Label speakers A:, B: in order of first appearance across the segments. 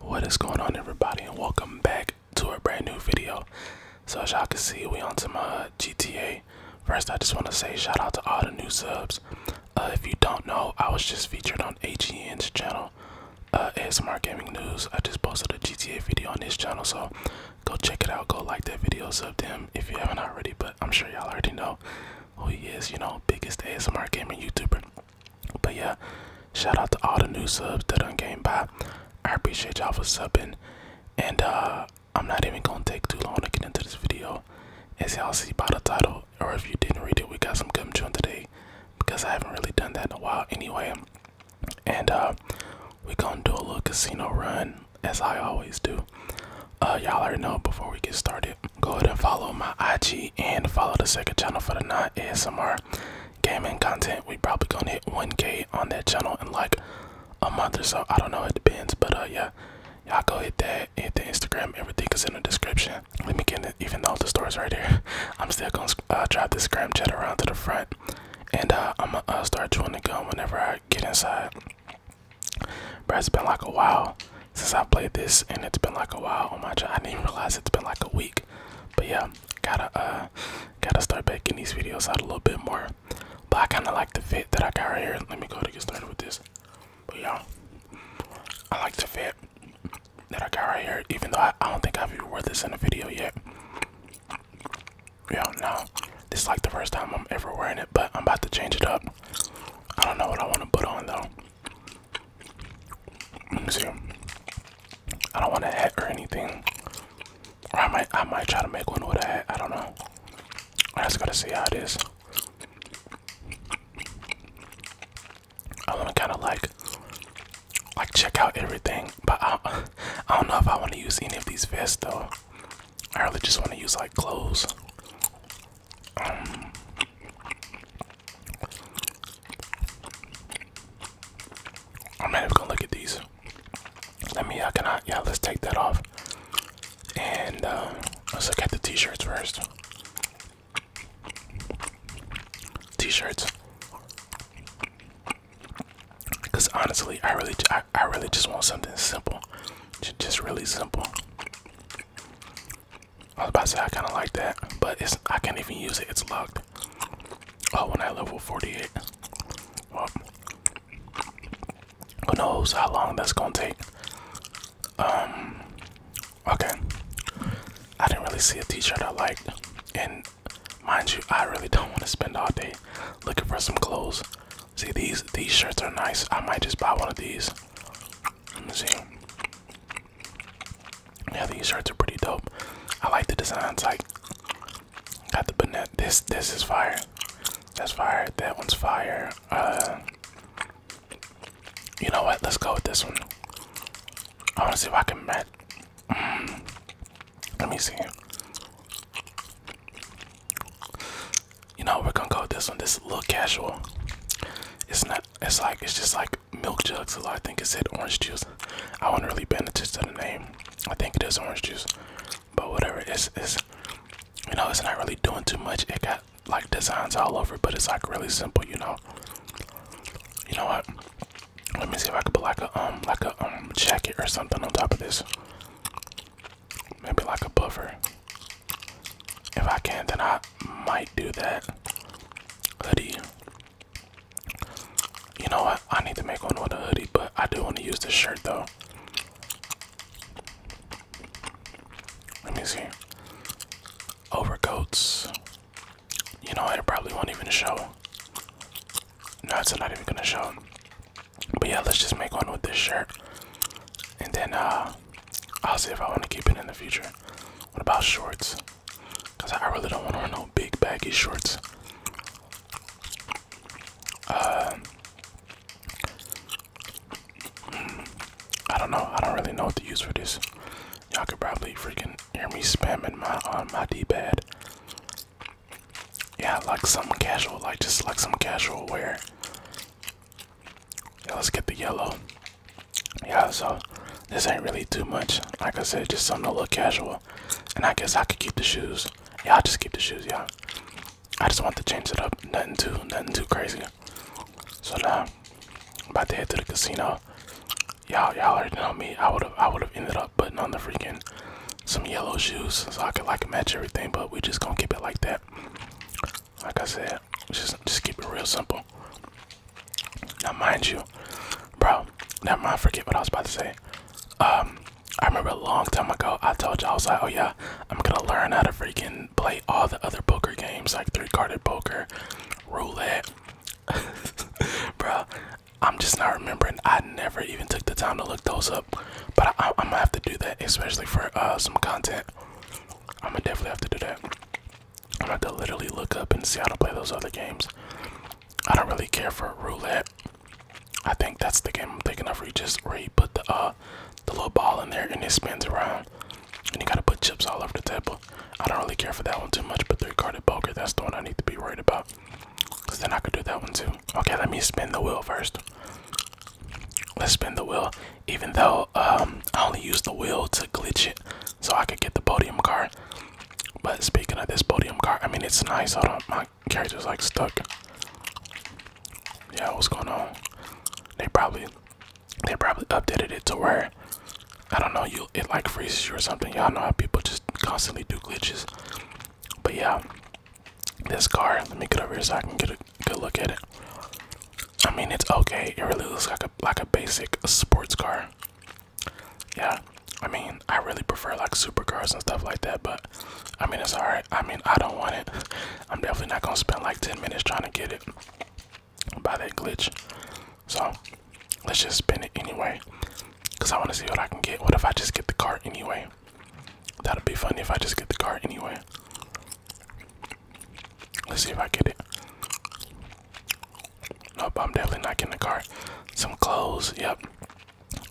A: What is going on everybody and welcome back to a brand new video. So as y'all can see we on to my GTA. First I just want to say shout out to all the new subs. Uh, if you don't know I was just featured on AGN's channel uh, ASMR Gaming News. I just posted a GTA video on his channel so go check it out. Go like that video, sub them if you haven't already but I'm sure y'all already know who he is. You know biggest ASMR gaming YouTuber. But yeah, shout out to all the new subs that done came by. I appreciate y'all for subbing. And uh, I'm not even gonna take too long to get into this video. As y'all see by the title, or if you didn't read it, we got some gum chewing today because I haven't really done that in a while anyway. And uh we gonna do a little casino run as I always do. Uh, y'all already know before we get started, go ahead and follow my IG and follow the second channel for the non ASMR gaming content, we probably gonna hit 1K on that channel in like a month or so. I don't know, it depends. But uh, yeah, y'all go hit that, hit the Instagram, everything is in the description. Let me get it, even all the stories right here. I'm still gonna uh, drive this scram chat around to the front, and uh, I'm gonna uh, start chewing the gum whenever I get inside. brad has been like a while since I played this, and it's been like a while. Oh my god, I didn't realize it's been like a week. But yeah, gotta uh, gotta start making these videos out a little bit more. But I kinda like the fit that I got right here. Let me go to get started with this. But yeah, I like the fit that I got right here, even though I, I don't think I've even wore this in a video yet. Yeah, no. This is like the first time I'm ever wearing it, but I'm about to change it up. I don't know what I want to put on though see. I don't want to hat or anything. Or I might I might try to make one with a hat. I don't know. I just gotta see how it is. I wanna kinda like like check out everything. But I I don't know if I wanna use any of these vests though. I really just wanna use like clothes. Um, I'm not gonna look at these. Let me, I cannot, yeah, let's take that off. And uh, let's look at the t shirts first. T shirts. Because honestly, I really, I, I really just want something simple. Just really simple. I was about to say I kind of like that, but it's I can't even use it. It's locked. Oh, when I level 48. who knows how long that's gonna take? Um. Okay. I didn't really see a T-shirt I liked, and mind you, I really don't want to spend all day looking for some clothes. See, these these shirts are nice. I might just buy one of these. Let me see. Yeah, these shirts are pretty dope. I like the designs. Like, got the Bonnet, This this is fire. That's fire. That one's fire. Uh, you know what? Let's go with this one. I want to see if I can match. Mm. Let me see. You know, we're gonna go with this one. This is a little casual. It's not. It's like it's just like milk jug, so I think it said orange juice. I wouldn't really bend it to the name. I think it is orange juice, but whatever. It's it's you know it's not really doing too much. It got like designs all over, but it's like really simple. You know. You know what? Let me see if I could put like a um like a um jacket or something on top of this. Maybe like a buffer. If I can, then I might do that. Hoodie. You know what? I need to make one with a hoodie, but I do want to use this shirt though. Let me see. Overcoats. You know, it probably won't even show. No, it's not even gonna show. But yeah, let's just make one with this shirt. And then uh I'll see if I want to keep it in the future. What about shorts? Cause I really don't want to wear no big baggy shorts. Uh, mm, I don't know. I don't really know what to use for this. Y'all could probably freaking hear me spamming my on my D-pad. Yeah, like something casual, like just like some casual wear. let's get the yellow yeah, so this ain't really too much. Like I said, just something to look casual. And I guess I could keep the shoes. Yeah, i just keep the shoes, Yeah, I just want to change it up. Nothing too, nothing too crazy. So now, about to head to the casino. Y'all, y'all already know me. I would have, I would have ended up putting on the freaking some yellow shoes so I could like match everything. But we just gonna keep it like that. Like I said, just, just keep it real simple. Now, mind you, bro, never mind, forget what I was about to say. Um, I remember a long time ago, I told you all I was like, oh yeah, I'm gonna learn how to freaking play all the other poker games like three carded poker, roulette. bro, I'm just not remembering. I never even took the time to look those up, but I, I'm gonna have to do that, especially for uh, some content. I'm gonna definitely have to do that. I'm gonna have to literally look up and see how to play those other games. I don't really care for roulette. I think that's the game I'm thinking of where you just where you put the uh the little ball in there and it spins around and you gotta put chips all over the table. I don't really care for that one too much, but three-carded poker, that's the one I need to be worried about. Cause then I could do that one too. Okay, let me spin the wheel first. Let's spin the wheel. Even though um I only use the wheel to glitch it so I could get the podium car. But speaking of this podium car, I mean it's nice. I Hold on, my character's like stuck. Yeah, what's going on? They probably they probably updated it to where I don't know you it like freezes you or something. Y'all know how people just constantly do glitches. But yeah, this car. Let me get over here so I can get a good look at it. I mean it's okay. It really looks like a like a basic sports car. Yeah, I mean, I really prefer like supercars and stuff like that, but I mean, it's alright. I mean, I don't want it. I'm definitely not gonna spend like 10 minutes trying to get it by that glitch. So let's just spin it anyway, cause I want to see what I can get. What if I just get the car anyway? That'd be funny if I just get the car anyway. Let's see if I get it. Nope, I'm definitely not getting the car. Some clothes, yep.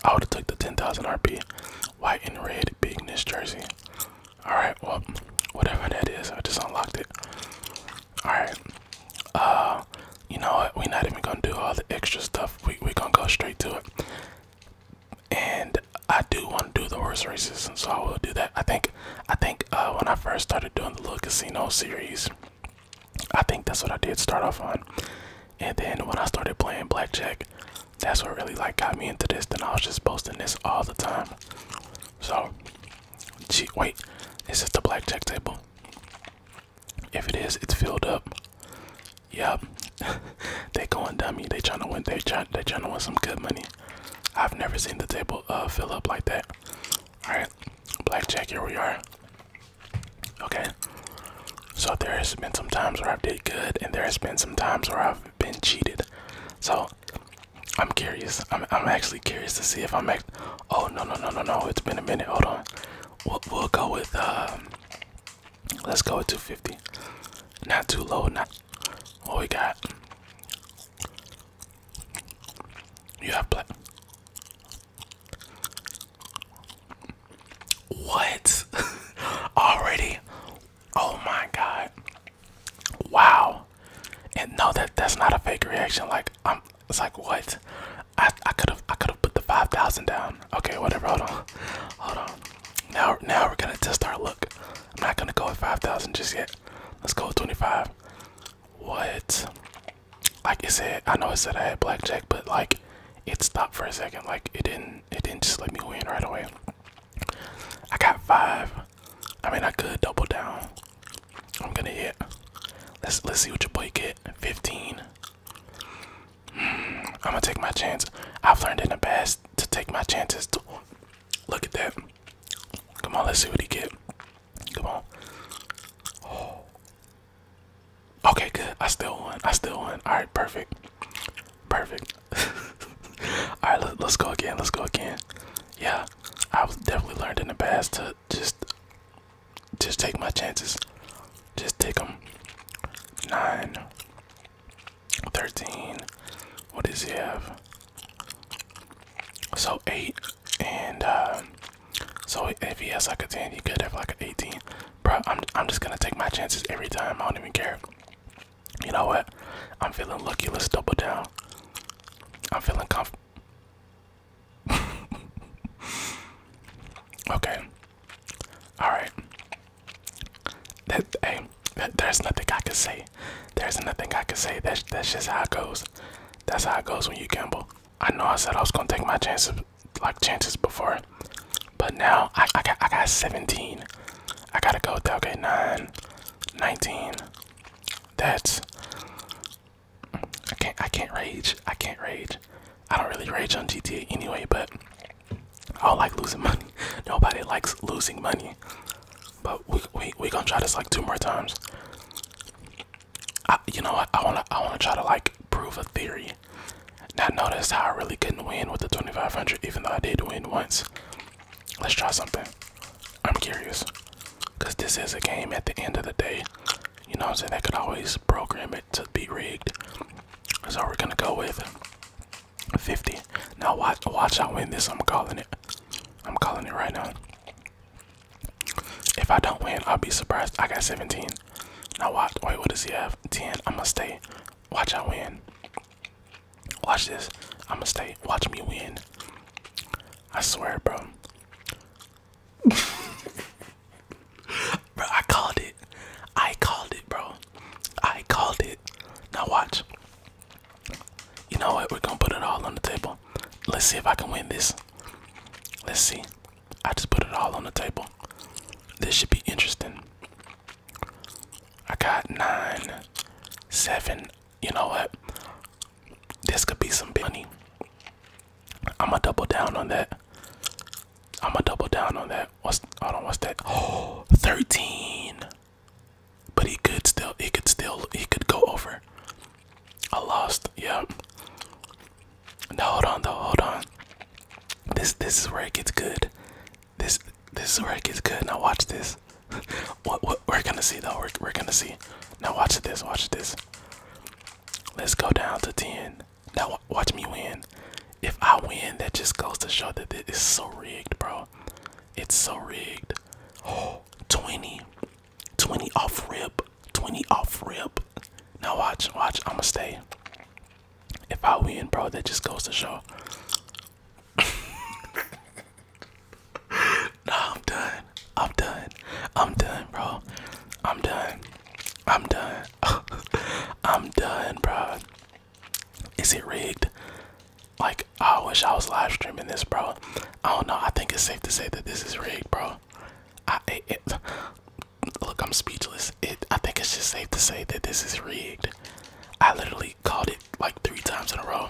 A: I would have took the 10,000 RP. White and red, big Ness jersey. Alright, well, whatever that is, I just unlocked it. Alright. Uh, you know what? We're not even gonna do all the extra stuff. We, we're gonna go straight to it. And I do want to do the horse races, and so I will do that. I think I think uh, when I first started doing the little casino series, I think that's what I did start off on. And then when I started playing blackjack, that's what really like got me into this. Then I was just posting this all the time. So, wait, this is this the blackjack table? If it is, it's filled up. Yep, they going dummy. They trying to win. They trying. They trying to win some good money. I've never seen the table uh, fill up like that. Alright, blackjack, here we are. Okay, so there has been some times where I've did good, and there has been some times where I've been cheated. So I'm curious. I'm I'm actually curious to see if I'm act. Oh no no no no no! It's been a minute. Hold on. We'll we'll go with um, Let's go with 250. Not too low. Not. What we got? You have black. What? Already? Oh my god. Wow. And no that that's not a fake reaction. Like I'm it's like what? I I could have I could have put the five thousand down. Okay, whatever, hold on. Hold on. Now now we're gonna test our look. I'm not gonna go with five thousand just yet. Let's go with twenty five. What? Like it said, I know I said I had blackjack, but like it stopped for a second. Like it didn't, it didn't just let me win right away. I got five. I mean, I could double down. I'm gonna hit. Let's let's see what your boy get. Fifteen. Hmm, I'm gonna take my chance. I've learned in the past to take my chances. To, look at that. Come on, let's see what he get. Come on. Okay, good. I still won. I still won. All right, perfect. Perfect. All right, let, let's go again. Let's go again. Yeah, I was definitely learned in the past to just, just take my chances. Just take them. Nine. 13 what does he have so 8 and uh, so if he has like a 10, he could have like an 18. Bro, I'm, I'm just gonna take my chances every time. I don't even care. You know what? I'm feeling lucky. Let's double down. I'm feeling comf. okay. All right. That hey, there's nothing I can say. There's nothing I can say. That's that's just how it goes. That's how it goes when you gamble. I know I said I was gonna take my chances, like chances before, but now I, I got I got 17. I gotta go with that. nine, 19. That's I can't I can't rage. I can't rage. I don't really rage on GTA anyway, but I don't like losing money. Nobody likes losing money. But we we we gonna try this like two more times. you know what? I wanna I wanna try to like prove a theory. Now notice how I really couldn't win with the 2500, even though I did win once. Let's try something. I'm curious, cause this is a game. At the end of the day, you know what I'm saying. They could always program it to be rigged. So we're gonna go with 50. Now watch watch I win this. I'm calling it. I'm calling it right now. If I don't win, I'll be surprised. I got 17. Now watch. Wait, what does he have? 10. I'ma stay. Watch I win. Watch this. I'ma stay. Watch me win. I swear, bro. bro, I called it. I called it, bro. I called it. Now watch. You know what? We're gonna put it all on the table. Let's see if I can win this. Let's see. I just put it all on the table. This should be interesting. I got nine, seven. You know what? This could be some money. I'ma double down on that. I'ma double down on that. What's hold on? What's that? Oh, 13 but he could still he could still he could go over. I lost. Yeah. No, hold on though. Hold on. This this is where it gets good. This this is where it gets good. Now watch this. what what we're gonna see though. We're we're gonna see. Now watch this. Watch this. Let's go down to ten. Now watch me win. If I win, that just goes to show that this is so rigged, bro. It's so rigged. Oh, 20. 20 off rip, 20 off rip. Now watch, watch, I'ma stay. If I win, bro, that just goes to show. nah, I'm done. I'm done. I'm done, bro. I'm done. I'm done. I'm done, bro. Is it rigged? Like Oh, I wish I was live streaming this, bro. I don't know. I think it's safe to say that this is rigged, bro. I look, I'm speechless. It, I think it's just safe to say that this is rigged. I literally called it like three times in a row.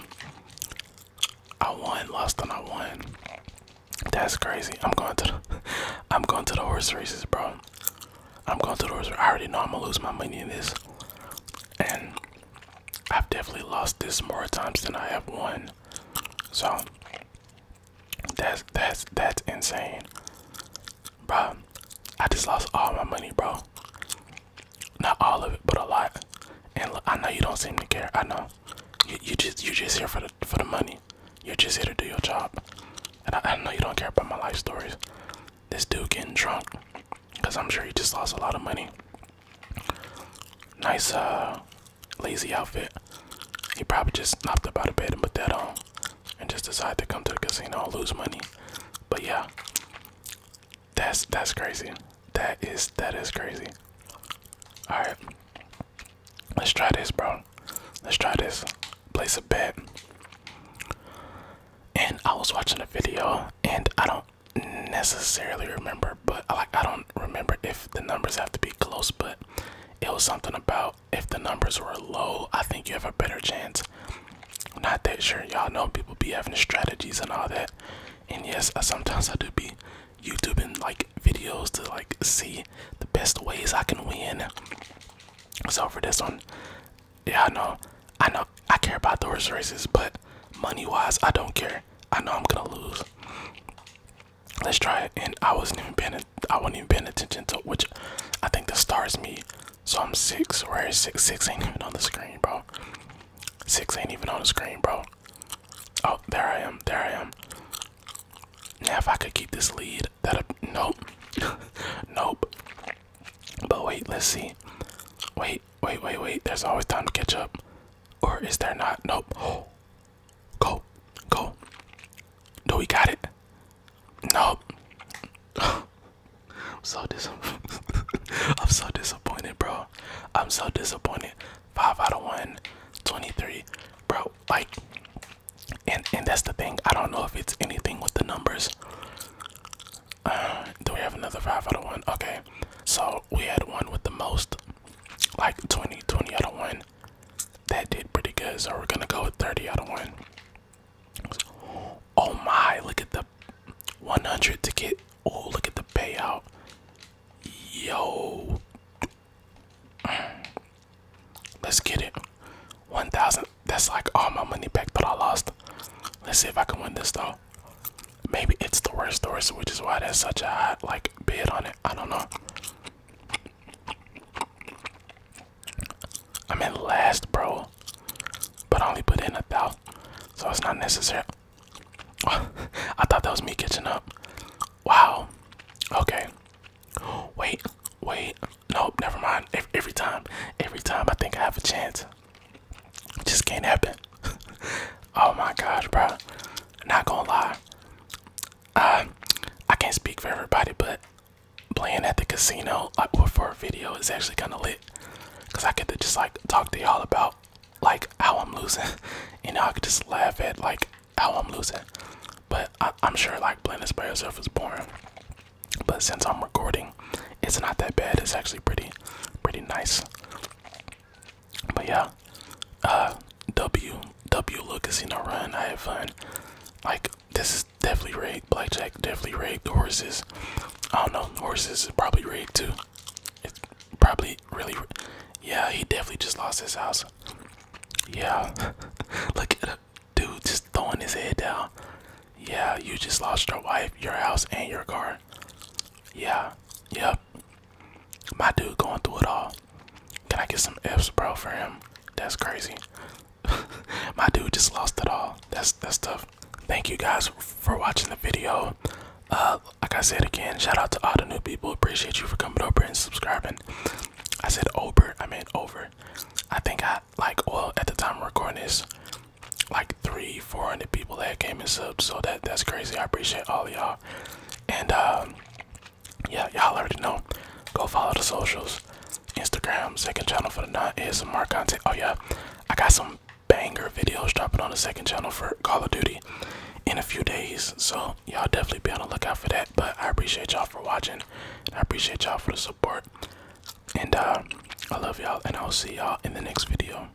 A: I won, lost, and I won. That's crazy. I'm going to the, I'm going to the horse races, bro. I'm going to the horse. I already know I'm gonna lose my money in this, and I've definitely lost this more times than I have won. So that's that's that's insane. Bro, I just lost all my money, bro. Not all of it, but a lot. And I know you don't seem to care. I know. You, you just you just here for the for the money. You're just here to do your job. And I know you don't care about my life stories. This dude getting drunk, cause I'm sure he just lost a lot of money. Nice, uh, lazy outfit. He probably just knocked up out of bed and put that on and just decided to come to the casino and lose money. But yeah, that's that's crazy. That is that is crazy. All right, let's try this, bro. Let's try this. Place a bet. And I was watching a video, and I don't necessarily remember, but like I don't remember if the numbers have to be close, but it was something about if the numbers were low, I think you have a better chance. not that sure, y'all know people be having strategies and all that, and yes, I, sometimes I do be YouTubing like videos to like see the best ways I can win. So for this one, yeah, I know, I know, I care about the horse races, but money wise, I don't care. I know I'm gonna lose. Let's try it. And I wasn't even paying. I wasn't even paying attention to which. I think the star is me. So I'm six. Where is six? Six ain't even on the screen, bro. Six ain't even on the screen, bro. Oh, there I am. There I am. Now if I could keep this lead, that nope, nope. But wait, let's see. Wait, wait, wait, wait. There's always time to catch up. Or is there not? Nope. Oh. Go. Go. Do we got it? Nope. I'm so disappointed. I'm so disappointed, bro. I'm so disappointed. 5 out of 1, 23. Bro, like and and that's the thing. I don't know if it's anything with the numbers. Uh, do we have another 5 out of 1? Okay. So we had one with the most, like 20, 20 out of one. That did pretty good. So we're gonna go with 30 out of one. Oh my, look at the 100 to get, oh, look at the payout. Yo. Let's get it. 1,000. That's like all my money back that I lost. Let's see if I can win this though. Maybe it's the worst source, which is why there's such a high like bid on it. I don't know. I'm in last, bro, but I only put in a thousand, so it's not necessary. I thought that was me catching up. Wow. Okay. Wait, wait. Nope, never mind. every time, every time I think I have a chance, just can't happen. oh my gosh, bro. Not gonna lie. Uh, I can't speak for everybody, but playing at the casino like for a video is actually kind of lit because I get to just like talk to y'all about like how I'm losing. you know, I could just laugh at like how I'm losing. But I I'm sure like playing this by yourself is boring. But since I'm recording, it's not that bad. It's actually pretty, pretty nice. But yeah, uh, W W little casino run. I have fun. Like this is definitely rigged. Blackjack definitely rigged. The horses, I don't know. The Horses probably rigged too. It's probably really. Yeah, he definitely just lost his house. Yeah, look at dude just throwing his head down. Yeah, you just lost your wife, your house, and your car. Yeah, yep. My dude going through it all. Can I get some F's, bro, for him? That's crazy. My dude just lost it all. That's that's tough. Thank you guys for watching the video. Uh, like I said again, shout out to all the new people. Appreciate you for coming over and subscribing. I said over. I meant over. I think I like well at the time recording this, like like three, four hundred people that came and subbed, so that that's crazy. I appreciate all of y'all. And um, yeah, y'all already know. Go follow the socials. Instagram, second channel for the non ASMR content. Oh yeah. I got some banger videos dropping on the second channel for Call of Duty in a few days. So y'all definitely be on the lookout for that. But I appreciate y'all for watching. I appreciate y'all for the support. And uh, I love y'all and I'll see y'all in the next video.